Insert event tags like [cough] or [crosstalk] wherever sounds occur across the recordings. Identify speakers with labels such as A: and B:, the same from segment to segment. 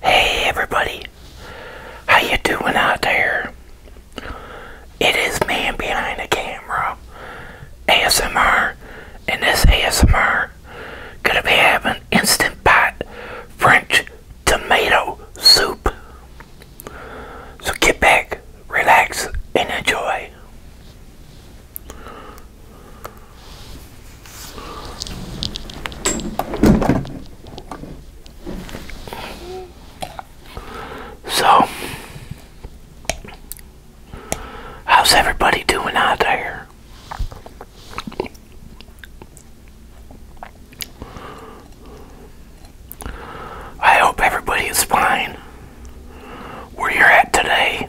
A: Hey everybody, how you doing out there? It is man behind the camera, ASMR, and this ASMR gonna be having instant pot French tomato soup. So get back, relax, and enjoy. So, how's everybody doing out there? I hope everybody is fine where you're at today.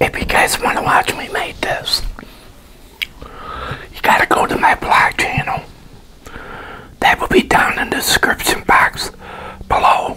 A: if you guys want to watch me make this, you gotta go to my blog channel. That will be down in the description box below.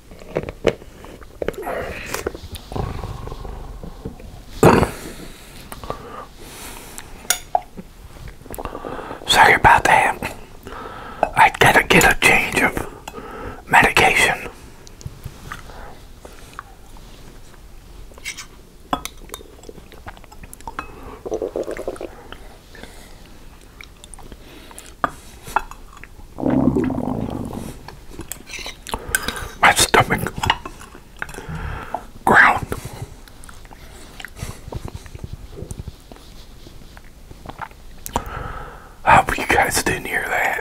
A: Sorry about that. I gotta get a change of medication. My stomach ground. hope you guys didn't hear that.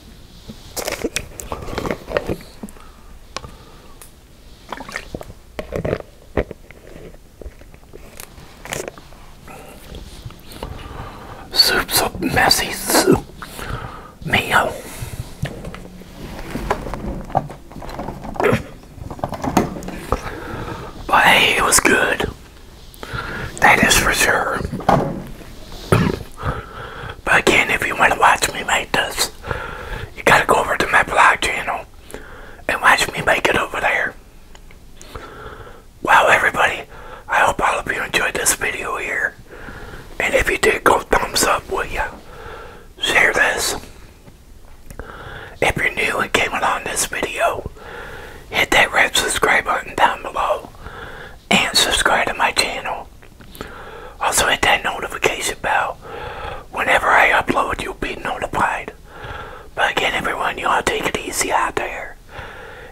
A: Soup's a messy soup meal. [coughs] But it was good. That is for sure. but again, if you want to watch me make this, you gotta go over to my blog channel and watch me make it over there. Wow, everybody, I hope all of you enjoyed this video here. And if you did, go thumbs up, will ya? Share this. If you're new and came along this video, hit that red subscribe button down below and subscribe to my channel. Also hit that notification bell. Whenever I upload, you'll be notified. But again, everyone, you all take it easy out there.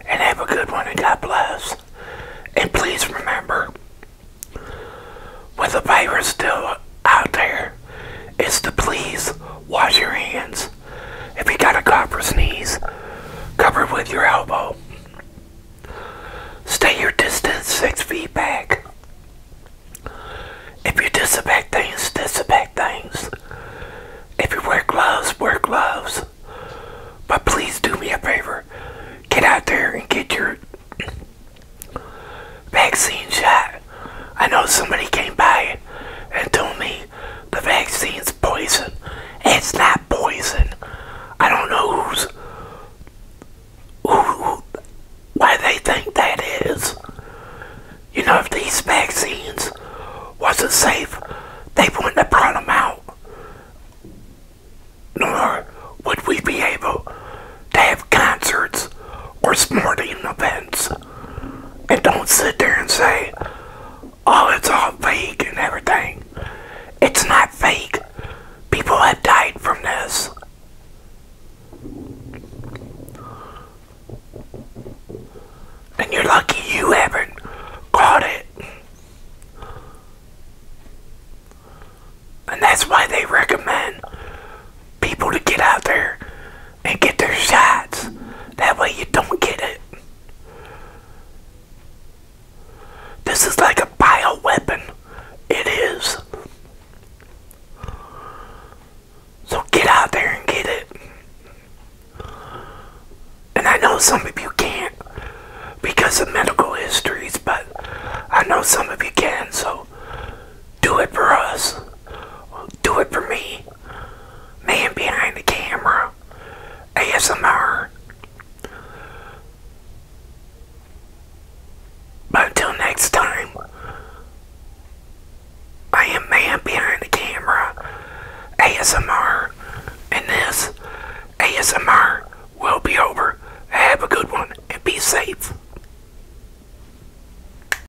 A: And have a good one, and God bless. And please remember, with the virus still out there, is to please wash your hands if you got a cough or sneeze, cover with your elbow. Stay your distance six feet back. If you disinfect things, disinfect things. If you wear gloves, wear gloves. But please do me a favor. Get out there and get your vaccine shot. I know somebody came by and told me the vaccine's poison. It's not poison. I don't know who's who, why they think that is. You know, if these vaccines wasn't safe, they wouldn't have brought them out. Nor would we be able to have concerts or sporting events. And don't sit there and say, oh, it's all fake and everything. It's not fake. People have died from this. And you're lucky you haven't caught it. And that's why they recommend people to get out there and get their shots. That way you don't get it. This is like a bio weapon. It is. So get out there and get it. And I know some of you can't because of medical histories, but I know some of you can, so do it for us do it for me. Man behind the camera. ASMR. But until next time, I am man behind the camera. ASMR. And this ASMR will be over. Have a good one and be safe.